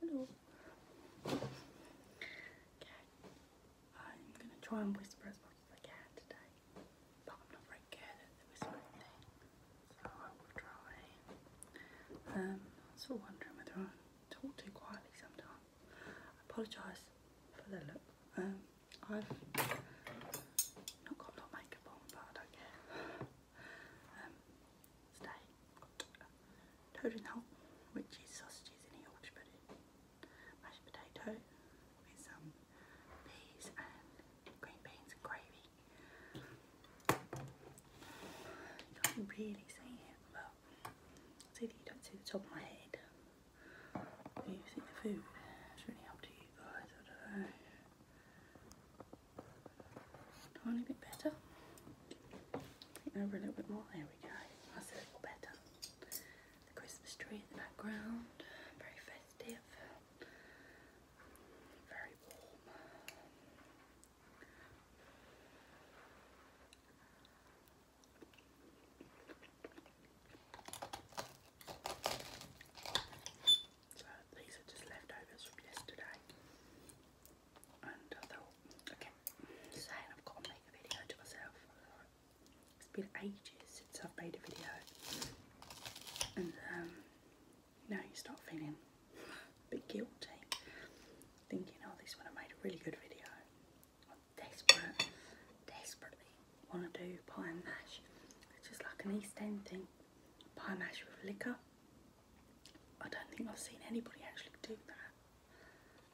Hello. Okay. I'm gonna try and whisper as much as I can today. But I'm not very good at the whispering thing. So I will try. Um, I'm still wondering whether I talk too quietly sometimes. I apologise for the look. Um I've not got a lot of makeup on but I don't care um, toad in the hole which is sausages in a Yorkshire pudding, mashed potato with some peas and green beans and gravy. You can't really see it, but see that you don't see the top of my head. you see the food. It's really up to you guys. Tiny bit better. Over a little bit more. There we go. a little better. The Christmas tree in the background. Very festive. Very warm. So these are just leftovers from yesterday. okay, saying I've got to make a video to myself. It's been ages since I've made a video. And um, now you start feeling a bit guilty. Thinking, oh, this one I made a really good video. I'm desperate, desperately want to do pie and mash. just like an East End thing by a measure of liquor. I don't think I've seen anybody actually do that.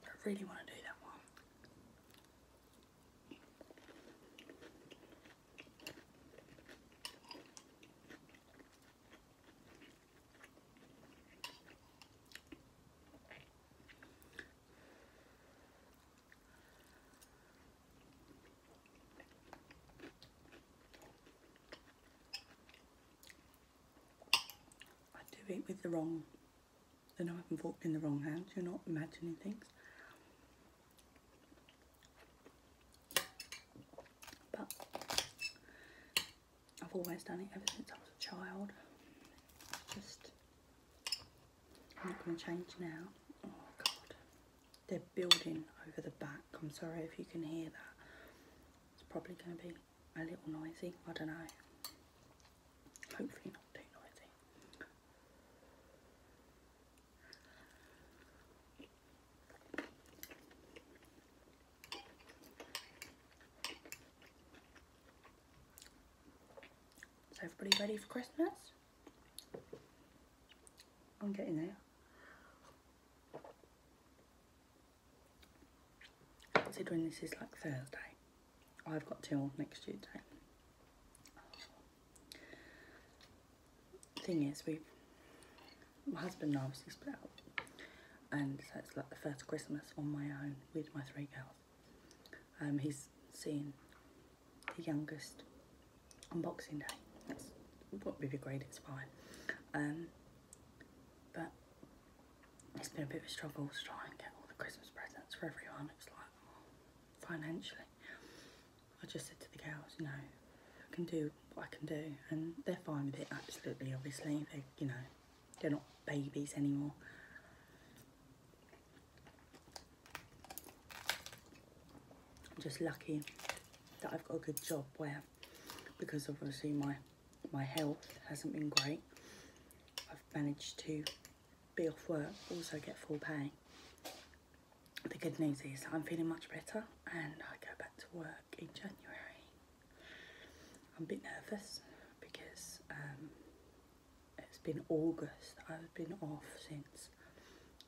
But I really want to do that one. I do it with the wrong, the knife and fork in the wrong hands. you're not imagining things. But I've always done it ever since I was a child. just, I'm not going to change now. Oh God they're building over the back. I'm sorry if you can hear that. It's probably going to be a little noisy. I don't know. Hopefully not too noisy. Is everybody ready for Christmas? I'm getting there. Considering this is like Thursday, oh, I've got till next Tuesday. Thing is, we, my husband obviously split up, and so it's like the first Christmas on my own with my three girls. Um, he's seen the youngest on Boxing Day. That's won't be great, it's fine. Um, but it's been a bit of a struggle to get all the Christmas presents for everyone. It's like oh, financially, I just said to the girls, you know, I can do what I can do, and they're fine with it. Absolutely, obviously, they you know, they're not babies anymore. I'm just lucky that I've got a good job where, because obviously my, my health hasn't been great, I've managed to be off work, also get full pay. The good news is I'm feeling much better and I go back to work in January. I'm a bit nervous because um, it's been August I've been off since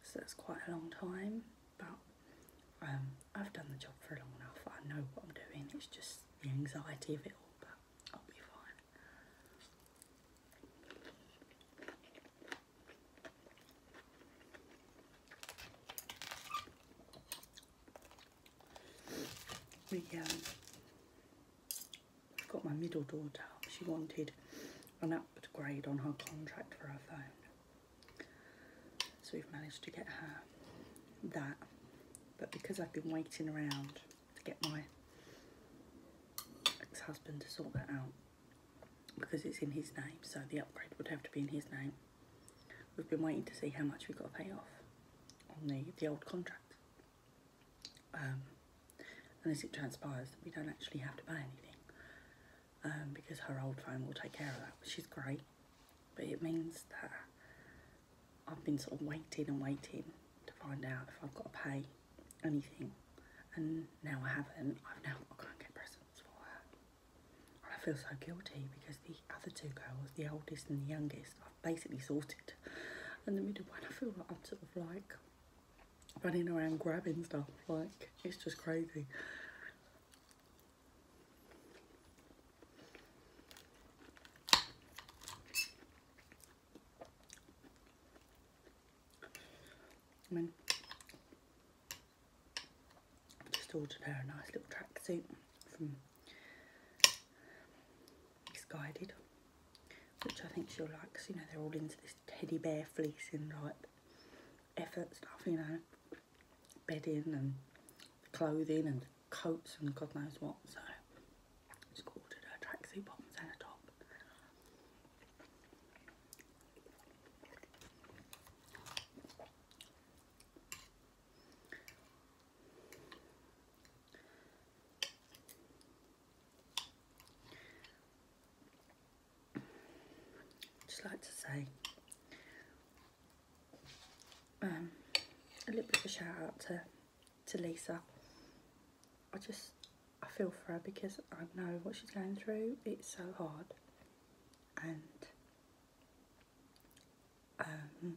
so that's quite a long time but um, I've done the job for long enough I know what I'm doing it's just the anxiety of it all but I'll be fine the um, I've got my middle daughter. She wanted an upgrade on her contract for her phone. So we've managed to get her that. But because I've been waiting around to get my ex-husband to sort that out, because it's in his name, so the upgrade would have to be in his name. We've been waiting to see how much we've got to pay off on the, old contract um, unless it transpires we don't actually have to buy anything um, because her old phone will take care of that, She's great. But it means that I've been sort of waiting and waiting to find out if I've got to pay anything. And now I haven't, I've now got to go get presents for her. I feel so guilty because the other two girls, the oldest and the youngest, I've basically sorted. And the middle one, I feel like I'm sort of like running around grabbing stuff. Like, it's just crazy. I just ordered her a nice little tracksuit from Misguided which I think she'll like you know they're all into this teddy bear fleece and like effort stuff, you know, bedding and clothing and coats and God knows what. So she's ordered her tracksuit bottoms and a top just like to say um, a little bit of a shout out to, to Lisa. I just, I feel for her because I know what she's going through. It's so hard. And um,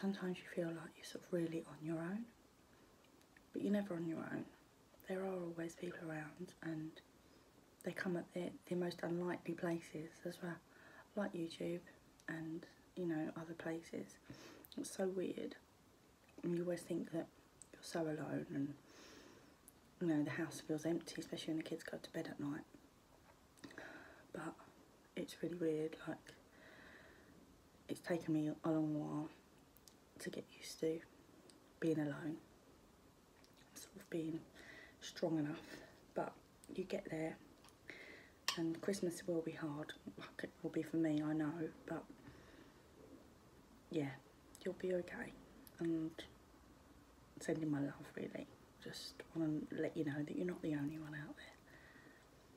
sometimes you feel like you're sort of really on your own, but you're never on your own. There are always people around and they come at the, most unlikely places as well, like YouTube and, you know, other places. It's so weird. you always think that you're so alone and, you know, the house feels empty, especially when the kids go to bed at night. But it's really weird like it's taken me a long while to get used to being alone sort of being strong enough but you get there and Christmas will be hard it will be for me I know but yeah you'll be okay and sending my love really just want to let you know that you're not the only one out there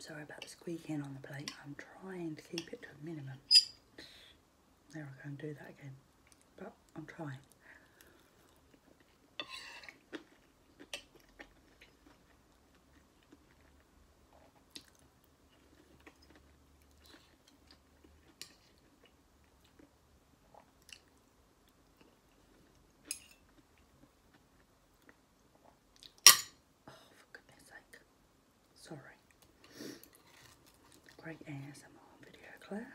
Sorry about the squeaking on the plate. I'm trying to keep it to a minimum. There I go and do that again. But I'm trying. Oh, for goodness sake. Sorry. Great ASMR video, Claire.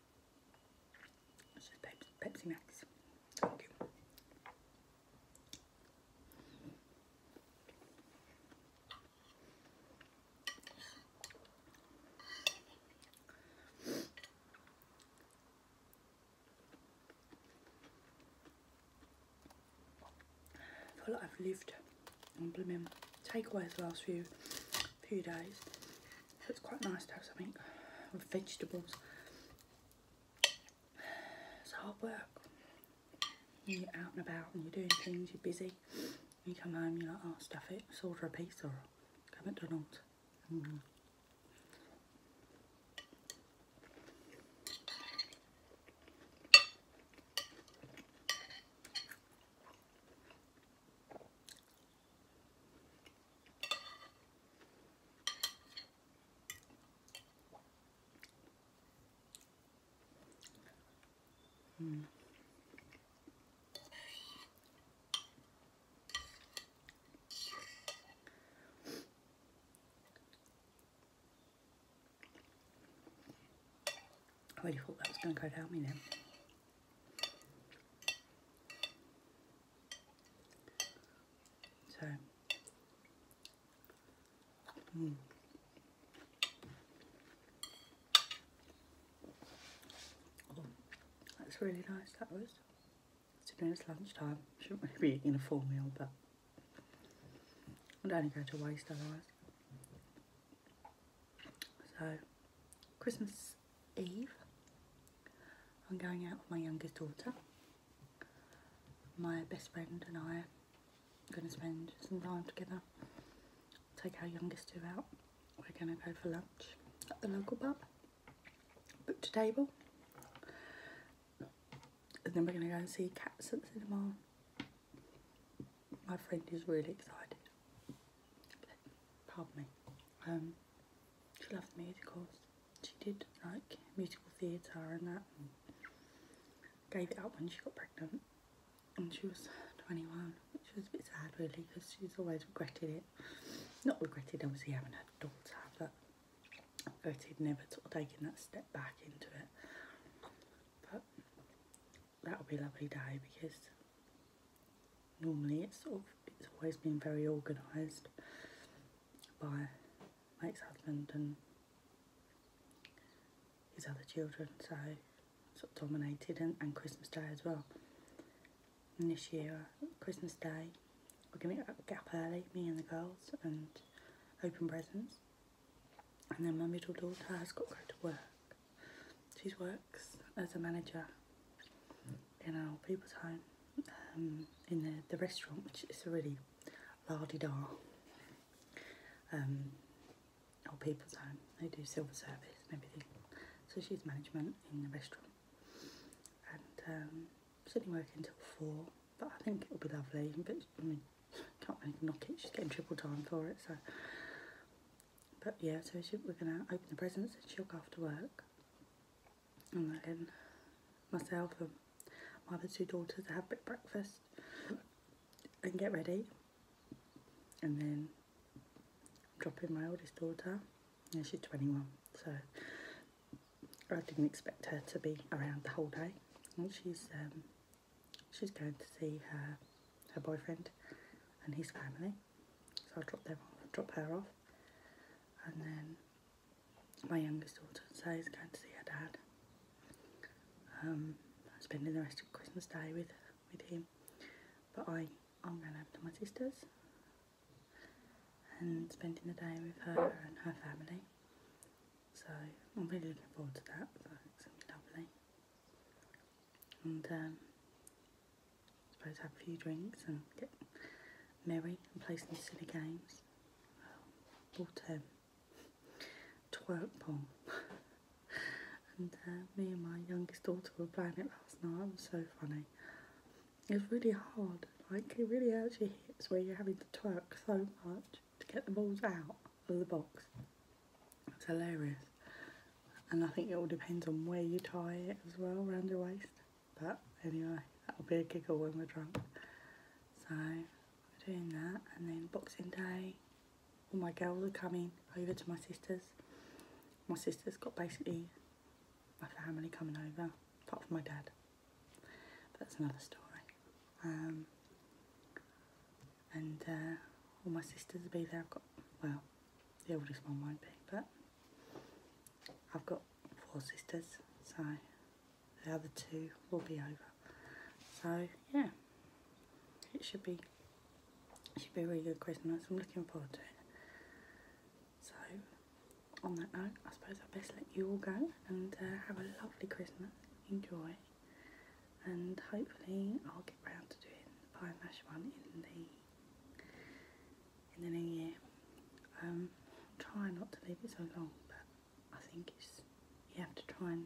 Pepsi, Max. I feel like I've lived on blooming takeaways the last few few days. So it's quite nice to have something with vegetables. It's hard work. You're out and about and you're doing things, you're busy. You come home, you're like, oh, stuff it, let's order a pizza or go McDonald's. Mm Mm. I really thought that was going to go down me then. So, hmm. oh, that's really nice. That was. Today it's lunchtime. Shouldn't really be eating a full meal, but i would only go to waste otherwise. So, Christmas Eve. I'm going out with my youngest daughter. My best friend and I are going to spend some time together. Take our youngest two out. We're going to go for lunch at the local pub. Booked a table. And then we're going to go and see cats at the cinema. My friend is really excited pardon me, um, she loved music, of course. She did like musical theatre and that, and gave it up when she got pregnant. And she was 21, which was a bit sad really, because she's always regretted it. Not regretted obviously having had a daughter, but regretted never taking that step back into it. But that would be a lovely day because normally it's it's always been very organised by Mike's husband and his other children so sort dominated and, and Christmas Day as well and this year Christmas Day we're going to get up early me and the girls and open presents and then my middle daughter has got to go to work she works as a manager in an people's home um, in the, the restaurant, which is a really lardy dar um, people's home. They do silver service and everything. So she's management in the restaurant. And um, she's only working until four, but I think it'll be lovely. But I mean, can't really knock it. She's getting triple time for it, so but yeah, so we're gonna open the presents and she'll go off to work. And then myself and my other two daughters have a breakfast and get ready. And then dropping my oldest daughter. Yeah, she's 21, so I didn't expect her to be around the whole day. she's um, she's going to see her her boyfriend and his family. So I'll drop them drop her off, and then my youngest daughter says is going to see her dad. Um, spending the rest of Christmas Day with with him, but I I'm going over to my sister's and spending the day with her and her family. So I'm really looking forward to that. it's lovely and um, I suppose have a few drinks and get merry and play some silly games. Well, bought um, and uh, me and my youngest daughter were playing it last night. It was so funny. It was really hard. Like it really hurts your hips where you're having to twerk so much to get the balls out of the box. It's hilarious. And I think it all depends on where you tie it as well, around your waist. But anyway, that'll be a giggle when we're drunk. So, we doing that. And then Boxing Day, all my girls are coming over to my sister's. My sister's got basically my family coming over, apart from my dad. that's another story. Um, and uh, all my sisters will be there. I've got, well, the oldest one won't be, but I've got four sisters, so the other two will be over. So yeah, it should be should be a really good Christmas. I'm looking forward to it. So on that note, I suppose I best let you all go and uh, have a lovely Christmas. Enjoy and hopefully I'll get round to doing the pie mash one in the in the new year. Um, try not to leave it so long, but I think it's you have to try and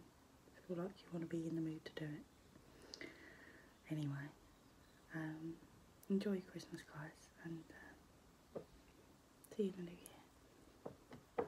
feel like you want to be in the mood to do it. Anyway, um, enjoy your Christmas, guys, and uh, see you in the new year.